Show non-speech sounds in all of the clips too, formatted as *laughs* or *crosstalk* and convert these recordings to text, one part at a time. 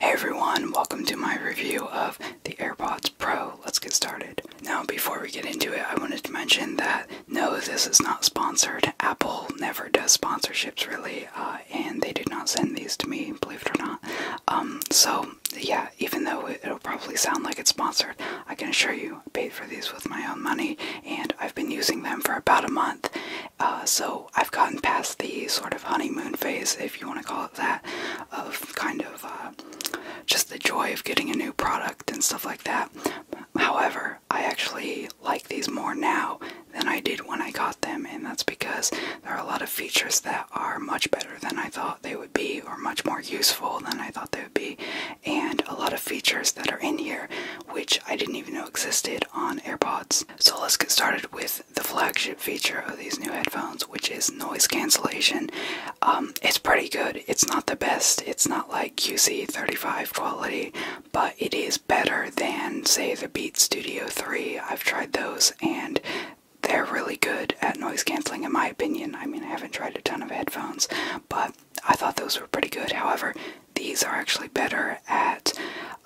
Hey everyone, welcome to my review of the AirPods Pro. Let's get started. Now, before we get into it, I wanted to mention that no, this is not sponsored. Apple never does sponsorships really, uh, and they did not send these to me, believe it or not. Um, so, yeah, even though it'll probably sound like it's sponsored, I can assure you I paid for these with my own money, and I've been using them for about a month, uh, so I've gotten past the sort of honeymoon phase, if you want to call it that, of kind of uh, just the joy of getting a new product and stuff like that. However, I actually like these more now than I did when I got them, and that's because there are a lot of features that are much better than I thought they would be, or much more useful than I thought they would be, and a lot of features that are in here which I didn't even know existed on AirPods. So let's get started with the flagship feature of these new headphones, which is noise cancellation. Um, it's pretty good. It's not the best. It's not like QC35 quality, but it is better than, say, the Beat Studio 3. I've tried those and they're really good at noise canceling, in my opinion. I mean, I haven't tried a ton of headphones, but I thought those were pretty good. However, these are actually better at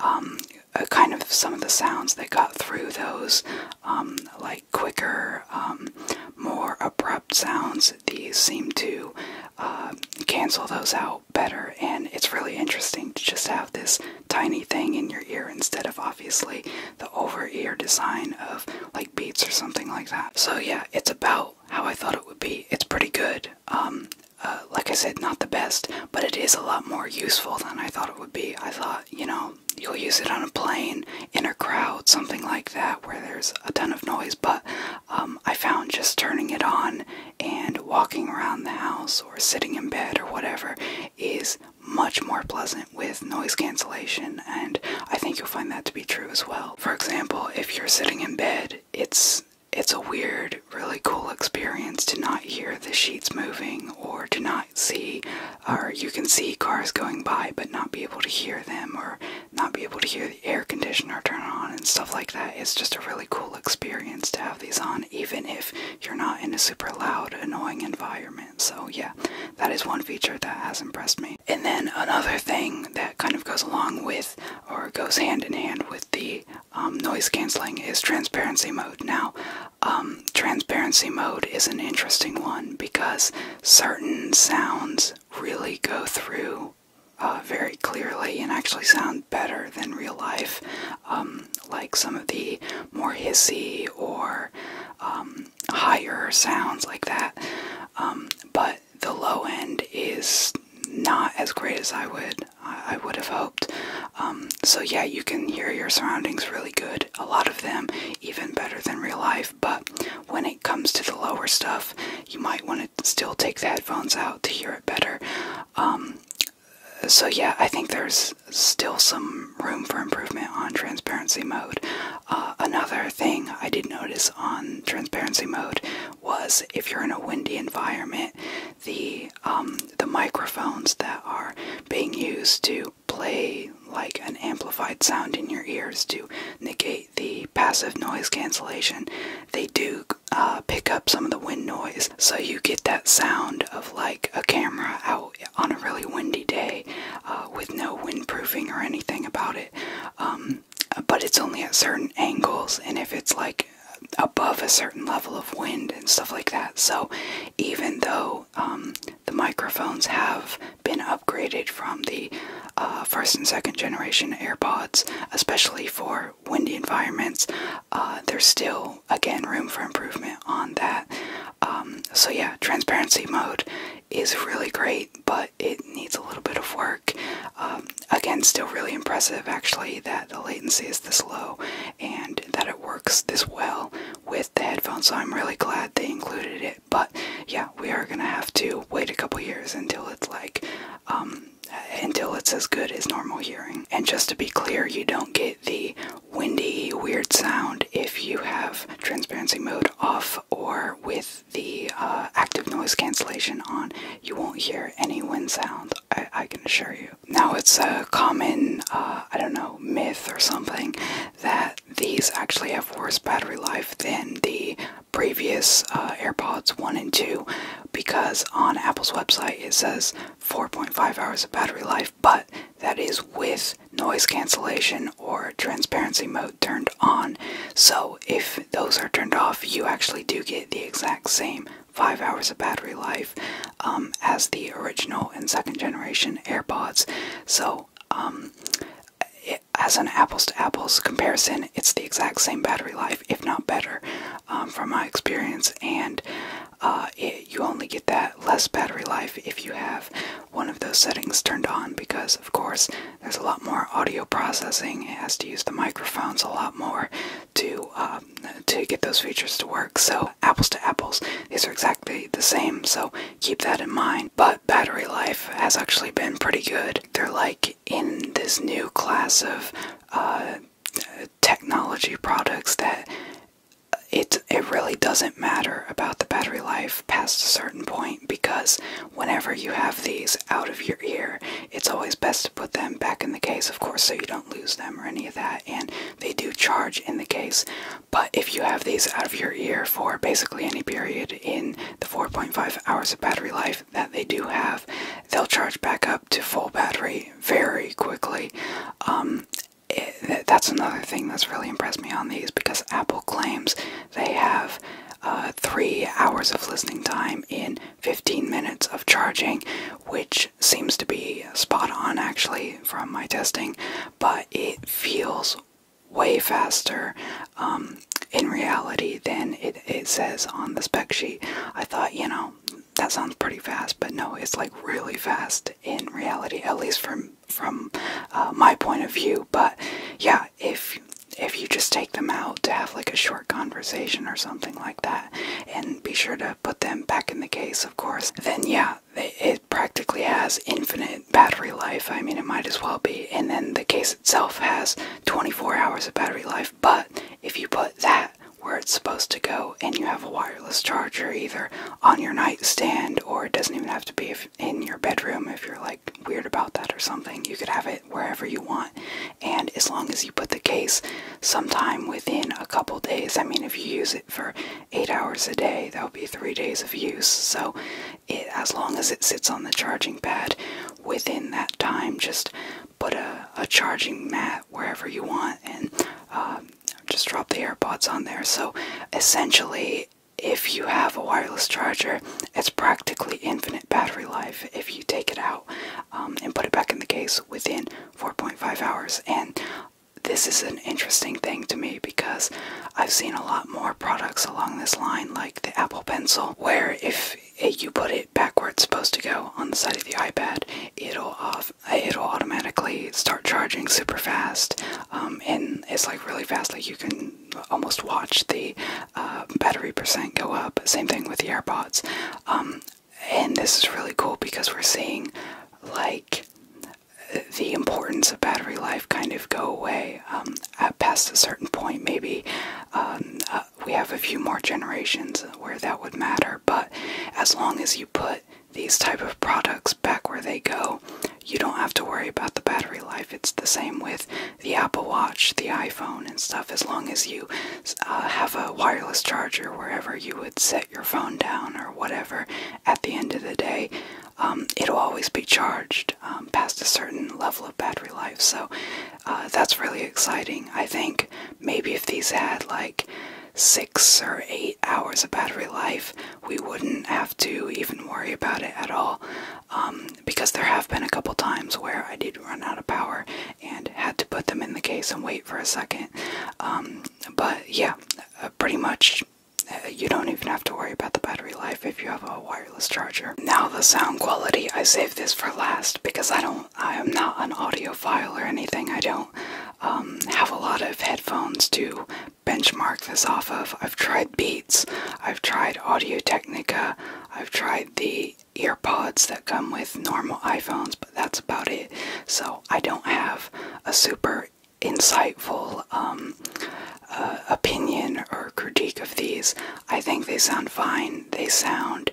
um, uh, kind of some of the sounds that got through those, um, like quicker, um, more abrupt sounds, these seem to uh, cancel those out better. And it's really interesting to just have this tiny thing in your ear instead of obviously the over ear design of like beats or something like that. So, yeah, it's about how I thought it would be. It's pretty good. Um, uh, like I said, not the best, but it is a lot more useful than I thought it would be. I thought, you know, you'll use it on a plane, in a crowd, something like that, where there's a ton of noise, but um, I found just turning it on and walking around the house or sitting in bed or whatever is much more pleasant with noise cancellation, and I think you'll find that to be true as well. For example, if you're sitting in bed, it's it's a weird really cool experience to not hear the sheets moving or to not see, or you can see cars going by but not be able to hear them or not be able to hear the air conditioner turn on and stuff like that. It's just a really cool experience to have these on, even if you're not in a super loud, annoying environment. So, yeah, that is one feature that has impressed me. And then another thing that kind of goes along with or goes hand in hand with the um, noise canceling is transparency mode. Now, um, transparency mode is an interesting one because certain sounds really go through uh, very clearly and actually sound better than real life, um, like some of the more hissy or higher sounds like that. but the low end is not as great as I would I, would have hoped. Um, so, yeah, you can hear your surroundings really good. A lot of them, even better than real life. But when it comes to the lower stuff, you might want to still take the headphones out to hear it better. Um, so, yeah, I think there's still some room for improvement on transparency mode. Uh, another thing I did notice on transparency mode was if you're in a windy environment, the um, the microphones that are being used to play like an amplified sound in your ears to negate the passive noise cancellation, they do uh, pick up some of the wind noise. So you get that sound of like a camera out on a really windy day uh, with no windproofing or anything about it. Um, but it's only at certain angles, and if it's like above a certain level of wind and stuff like that. So, even though um, the microphones have been upgraded from the uh, first and second generation AirPods, especially for windy environments, uh, there's still, again, room for improvement on that. Um, so, yeah, transparency mode is really great, but it needs a little bit of work. Um, again, still really impressive actually that the latency is this low and that it works this well with the headphones. So I'm really glad they included it. But yeah, we are gonna have to wait a couple years until it's like, um, until it's as good as normal hearing. And just to be clear, you don't get the windy, weird sound if you have transparency mode off or with the uh, active noise cancellation on. You won't hear any wind sound. I, can assure you. Now, it's a common, uh, I don't know, myth or something that these actually have worse battery life than the previous uh, AirPods 1 and 2 because on Apple's website it says 4.5 hours of battery life, but that is with noise cancellation or transparency mode turned on. So if those are turned off, you actually do get the exact same five hours of battery life um, as the original and second generation AirPods. So, um, as an apples to apples comparison, it's the exact same battery life, if not better, um, from my experience. And uh, you only get that less battery life if you have one of those settings turned on, because of course there's a lot more audio processing. It has to use the microphones a lot more, to um, to get those features to work. So apples to apples, these are exactly the same. So keep that in mind. But battery life has actually been pretty good. They're like in this new class of uh, technology products that it it really doesn't matter about the battery life past a certain point because whenever you have these out of your ear it's always best to put them back in the case, of course, so you don't lose them or any of that. And they do charge in the case, but if you have these out of your ear for basically any period in the 4.5 hours of battery life that they do have, they'll charge back up to full battery very quickly. Um, that's another thing that's really impressed me on these because Apple claims they have uh, three hours of listening time in 15 minutes of charging, which seems to be spot on actually from my testing, but it feels way faster um, in reality than it, says on the spec sheet. I thought, you know, that sounds pretty fast, but no, it's like really fast in reality, at least from from uh, my point of view. But yeah, if if you just take them out to have like a short conversation or something like that, and be sure to put them back in the case, of course, then yeah, it practically has infinite battery life. I mean, it might as well be. And then the case itself has 24 hours of battery life, but if you put that where it's supposed to go and you have a wireless charger either on your nightstand or it doesn't even have to be in your bedroom if you're like weird about that or something you could have it wherever you want. And as long as you put the case sometime within a couple days, I mean, if you use it for eight hours a day, that would be three days of use. So, it, as long as it sits on the charging pad within that time, just put a, charging mat wherever you want and um, just drop the AirPods on there. So, essentially, if you have a wireless charger, it's practically infinite battery life if you take it out. Um, and put it back in the case within 4.5 hours. And this is an interesting thing to me because I've seen a lot more products along this line, like the Apple Pencil, where if eh, you put it back where it's supposed to go on the side of the iPad, it'll off, it'll automatically start charging super fast, um, and it's like really fast. Like you can almost watch the um, battery percent go up. Same thing with the AirPods. Um, and this is really cool because we're seeing like the importance of battery life kind of go away um, at past a certain point. Maybe uh, we have a few more generations where that would matter, but as long as you put these type of products back where they go, you don't have to worry about the battery life. It's the same with the Apple Watch, the iPhone, and stuff, as long as you uh, have a wireless charger wherever you would set your phone down or whatever, at the end of the day, um, it'll always be charged um, past a certain level of battery life. So uh, that's really exciting. I think maybe if these had like six or eight hours of battery life, we wouldn't have to even worry about it at all. Um, because there have been a couple times where I did run out of power and had to put them in the case and wait for a second. Um, but yeah, uh, pretty much uh, you don't even have to worry about the battery life if you have a wireless charger. Now the sound quality, I saved this for last because I don't, I am not an audiophile or anything. I don't um, have a lot of headphones to benchmark this off of. I've tried Beats, I've tried Audio Technica, I've tried the earpods that come with normal iPhones, but that's about it. So I don't have a super insightful um, uh, opinion or critique of these. I think they sound fine. They sound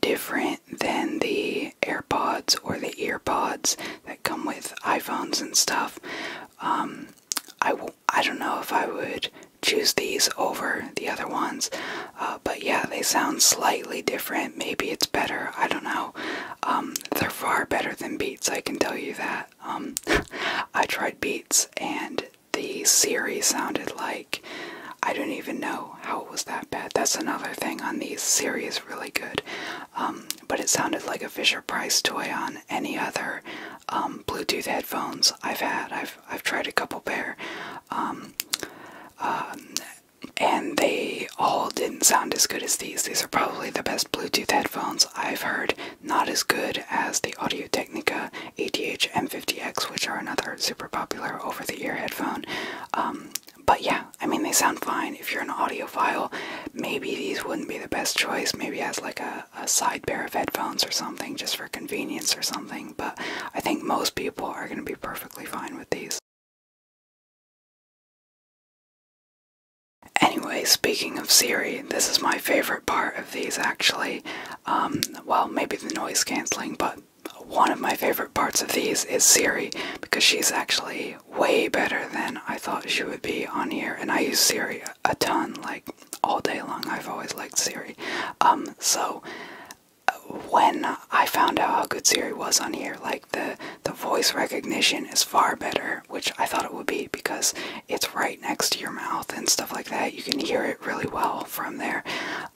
different than the AirPods or the earpods that come with iPhones and stuff. I um, I w I don't know if I would choose these over the other ones. Uh, but yeah, they sound slightly different. Maybe it's better. I don't know. Um, they're far better than Beats, I can tell you that. Um, *laughs* I tried Beats and the series sounded like I don't even know how it was that bad. That's another thing on these series, really good. Um, but it sounded like a Fisher Price toy on any other Bluetooth headphones I've had. I've I've tried a couple pair, um, um, and they all didn't sound as good as these. These are probably the best Bluetooth headphones I've heard. Not as good as the Audio Technica ATH M50X, which are another super popular over the ear headphone. Um, but yeah, I mean, they sound fine. If you're an audiophile, maybe these wouldn't be the best choice. Maybe as like a side pair of headphones or something just for convenience or something but I think most people are going to be perfectly fine with these. Anyway, speaking of Siri, this is my favorite part of these actually. Um, well, maybe the noise cancelling, but one of my favorite parts of these is Siri because she's actually way better than I thought she would be on here. And I use Siri a ton, like all day long. I've always liked Siri. Um, so when I found out how good Siri was on here, like the the voice recognition is far better, which I thought it would be because it's right next to your mouth and stuff like that. You can hear it really well from there.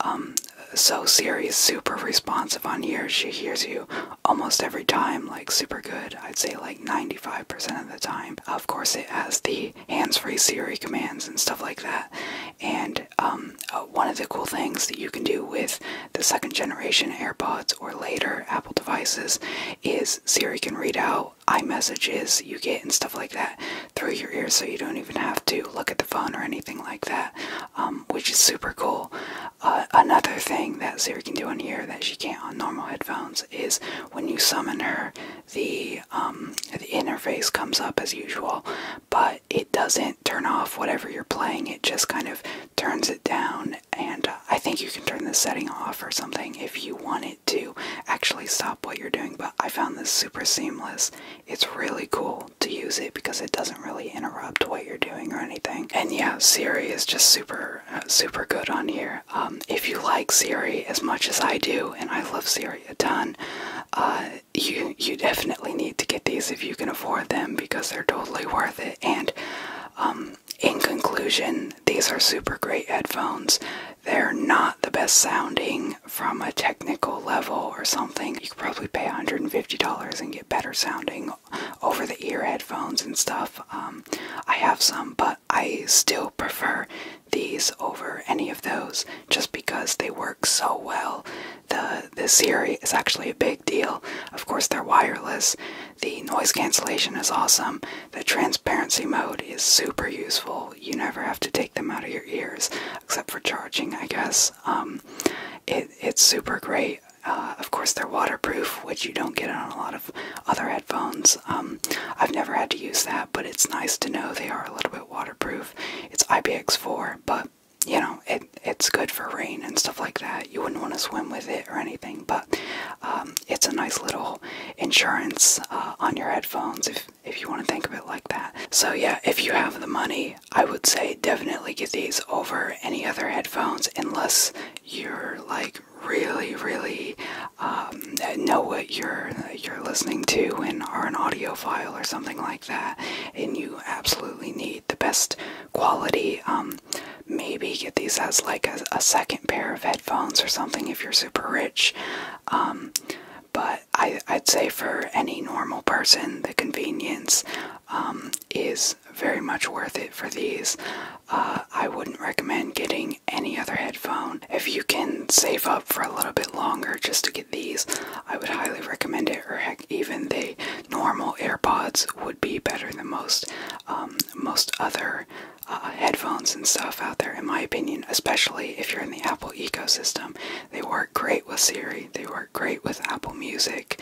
Um, so Siri is super responsive on here. She hears you almost every time, like super good. I'd say like 95% of the time. Of course, it has the hands-free Siri commands and stuff like that. And um, uh, one of the cool things that you can do with the second generation AirPods or later Apple devices is Siri can read out iMessages you get and stuff like that through your ear, so you don't even have to look at the phone or anything like that, um, which is super cool. Uh, another thing that Siri can do on here that she can't on normal headphones is when you summon her, the um, the interface comes up as usual, but it doesn't turn off whatever you're playing. It just kind of turns it down, and uh, I think you can turn the setting off or something if you want it to actually stop what you're doing. But I found this super seamless. It's really cool to use it because it doesn't really interrupt what you're doing or anything. And yeah, Siri is just super, uh, super good on here. Um, if you like Siri as much as I do, and I love Siri a ton. Uh, you you definitely need to get these if you can afford them because they're totally worth it. And um, in conclusion, these are super great headphones. They're not the best sounding from a technical level or something. You could probably pay $150 and get better sounding over the ear headphones and stuff. Um, I have some, but I still prefer these over any of those just because they work so well. The the Siri is actually a big deal. Of course they're wireless. The noise cancellation is awesome. The transparency mode is super useful. You never have to take them out of your ears except for charging, I guess. Um, it it's super great. Uh, of course they're waterproof, which you don't get on a lot of other headphones. Um, I've never had to use that, but it's nice to know they are a little bit waterproof. It's IPX4, but you know, it's good for rain and stuff like that. You wouldn't want to swim with it or anything, but um, it's a nice little insurance uh, on your headphones if if you want to think of it like that. So yeah, if you have the money, I would say definitely get these over any other headphones unless you're like really really um, know what you're you're listening to and are an audiophile or something like that, and you absolutely need the best quality. Um, maybe get these as like a, second pair of headphones or something if you're super rich. Um, but I, would say for any normal person, the convenience is very much worth it for these. Uh, I wouldn't recommend getting any other headphone if you can save up for a little bit longer just to get these, I would highly recommend it. Or heck, even the normal AirPods would be better than most um, most other uh, headphones and stuff out there, in my opinion. Especially if you're in the Apple ecosystem, they work great with Siri. They work great with Apple Music.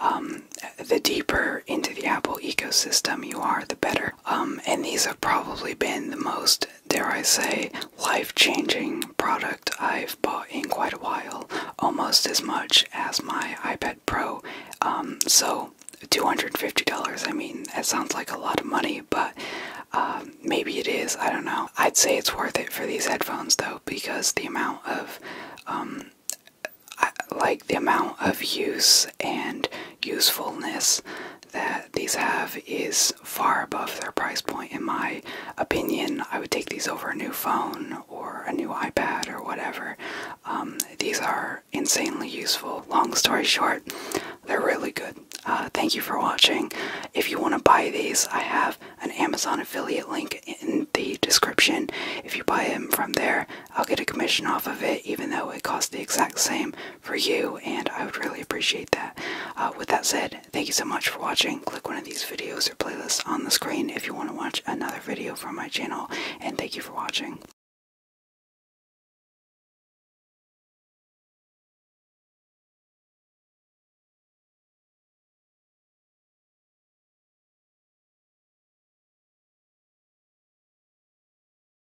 Um, the deeper into the Apple ecosystem you are, the better. Um, and these have probably been the most dare I say, life changing product I've bought in quite a while, almost as much as my iPad Pro. Um, so $250, I mean, that sounds like a lot of money, but um, maybe it is, I don't know. I'd say it's worth it for these headphones though, because the amount of, um, like the amount of use and usefulness that these have is far above their price point, in my opinion. I would take these over a new phone or a new iPad or whatever. Um, these are insanely useful. Long story short, they're really good. Uh, thank you for watching. If you want to buy these, I have an Amazon affiliate link in the description. If you buy them from there, I'll get a commission off of it, even though it costs the exact same for you, and I would really appreciate that. Uh, with that said, thank you so much for watching. Click one of these videos or playlists on the screen if you want to watch another video from my channel, and thank you for watching.